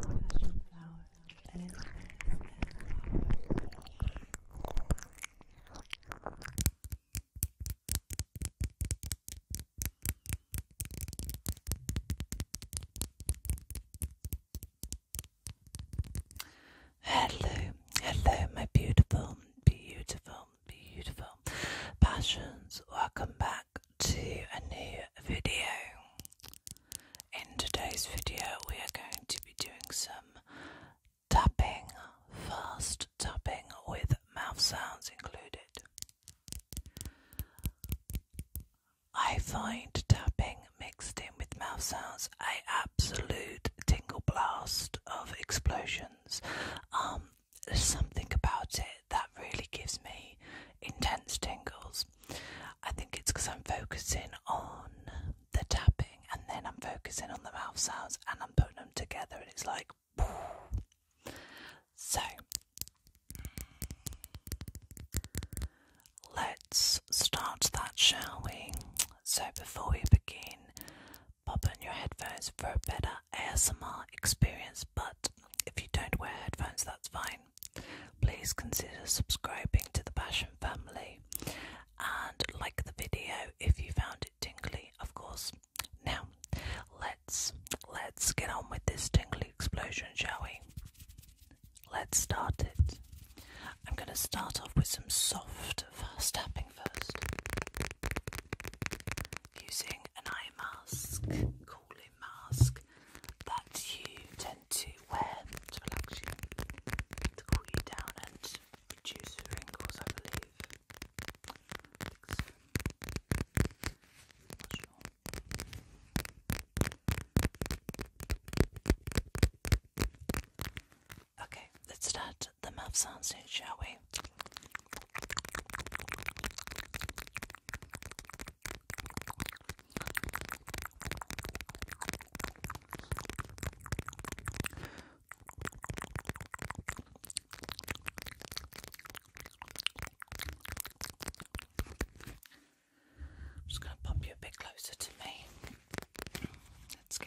passion flower Hello, hello, my beautiful, beautiful, beautiful passions. Welcome back, to a new video. In today's video, we are going to be doing some tapping, fast tapping with mouth sounds included. I find tapping mixed in with mouth sounds a absolute tingle blast of explosions. Um, there's something about it that really gives me intense tingles. I think it's because I'm focusing on the tapping and then I'm focusing on the mouth sounds and I'm putting them together, and it's like. So let's start that, shall we? So, before we begin, pop in your headphones for a better ASMR experience. But if you don't wear headphones, that's fine. Please consider subscribing to the Passion family and like the video if you found it tingly, of course. Now, let's let's get on with this tingly explosion, shall we? Let's start it. I'm going to start off with some soft fast tapping first using an eye mask, cooling mask that you tend to wear to relax you, cool you down and reduce wrinkles, I believe. Okay, let's start the mouth sound shall we? I'm just going to pop you a bit closer to me. Let's go.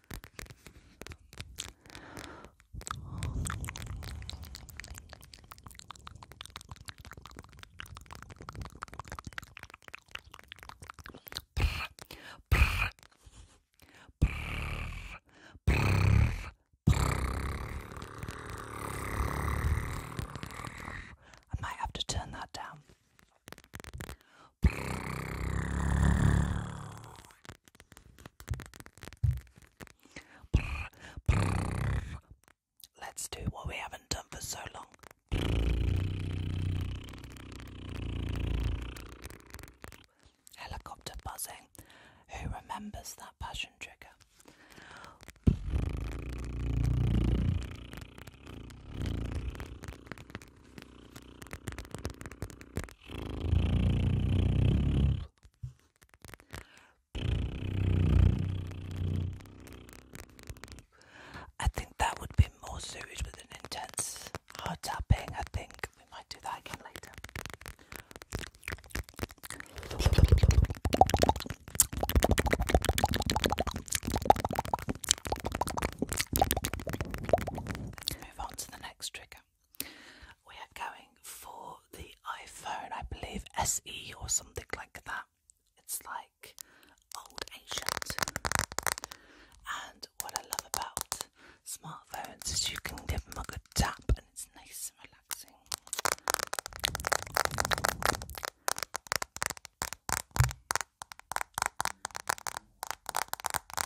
I might have to turn that down. Let's do what we haven't done for so long. Helicopter buzzing. Who remembers that passion trigger? I think that would be more suited with an intense heart tapping. I think we might do that again later. Move on to the next trigger. We are going for the iPhone, I believe SE or something like that. It's like old ancient. And what I love about smartphones is you can give them a good tap and it's nice and relaxing.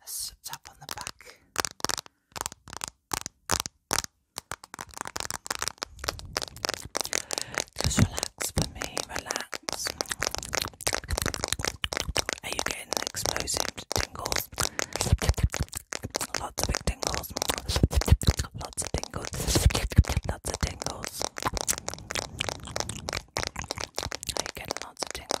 Let's tap on the back. Just relax for me, relax. Are you getting explosive tingles? tingles. Lots of big tingles. Lots of tingles. Lots of tingles. Are you getting lots of tingles?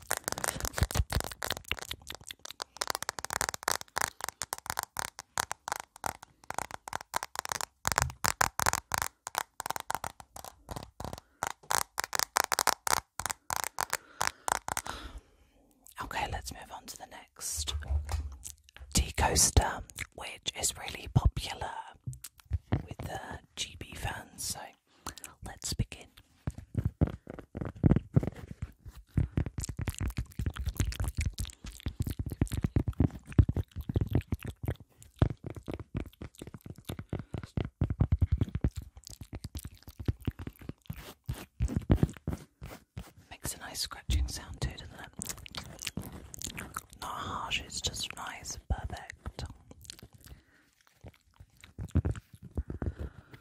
Okay, let's move on to the next tea coaster, which is really popular with the GB fans. So let's begin. Makes a nice scratching sound too, not harsh, it's just nice perfect.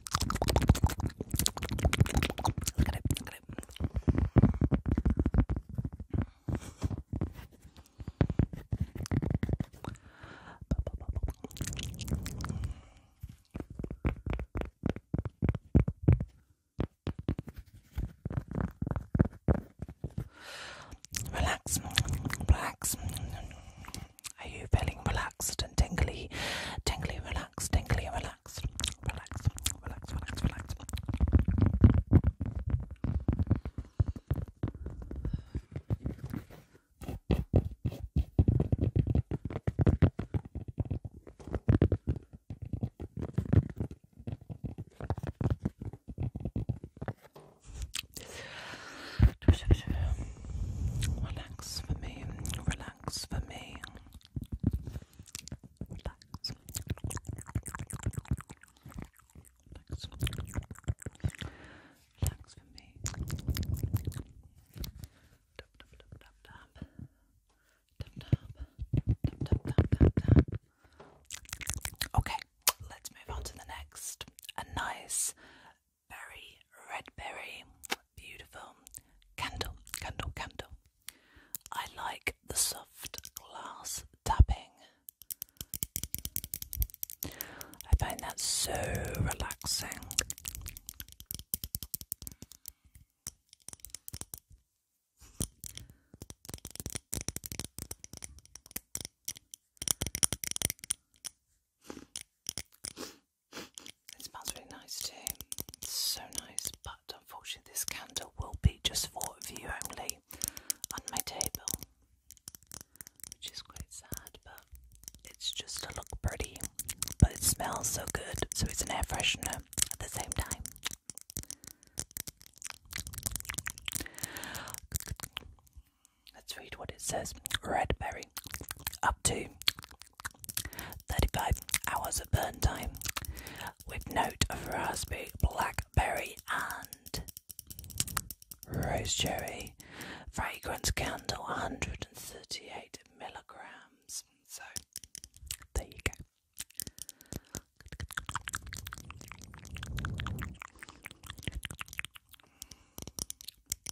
Look at it, look at it. Relax, relax. Are you feeling relaxed and tingly? Tingly, relaxed, tingly, relaxed. Relax, relax, relax, relax. Relax for me. Relax for me. Relax. for me. Okay, let's move on to the next. A nice berry, red berry, beautiful. Candle, candle, candle. I like the soft glass tapping. I find that so relaxing. It smells really nice too. It's so nice, but unfortunately, this candle will be just for view only on my table, which is quite sad, but it's just to look pretty. But it smells so good, so it's an air freshener at the same time. Let's read what it says. Red berry, up to 35 hours of burn time, with note of raspberry, blackberry, and rose cherry. Fragrance candle, 138 milligrams. So there you go.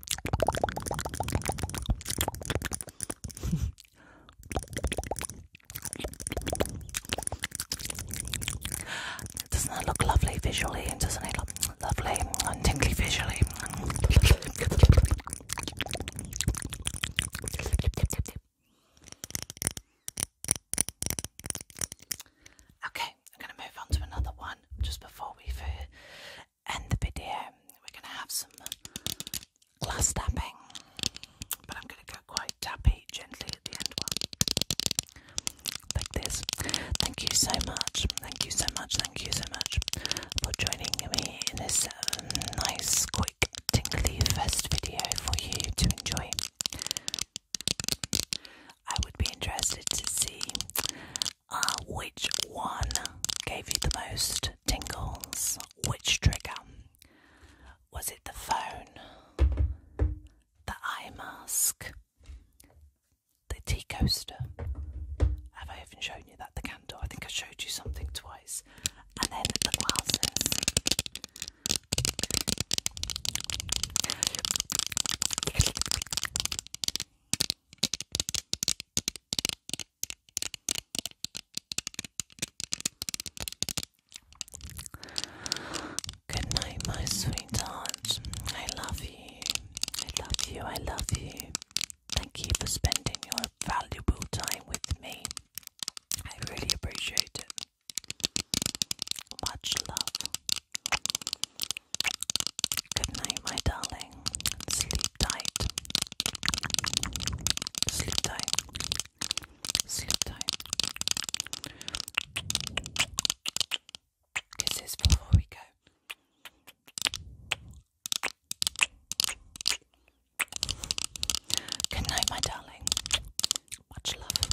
doesn't that look lovely visually? and Doesn't it look lovely and tingly visually? Okay, I'm going to move on to another one just before we end the video, we're going to have some glass tapping, but I'm going to go quite tappy gently at the end one, like Thank you so much, thank you so much, thank you so much for joining me in this um, nice, quick, tingly first video for you to enjoy. I would be interested to see uh, which one gave you the most tingles? Which trigger? Was it the phone, the eye mask, the tea coaster? Have I even shown you that? The candle? I think I showed you something twice. And then the glasses. Good night, my sweetheart. I love you. I love you. I love you. Thank you for spending your valuable time with me. I really appreciate it. Much love. Good night, my darling. Sleep tight. Sleep tight. Sleep tight. Kisses before we go. Good night, my darling. Much love.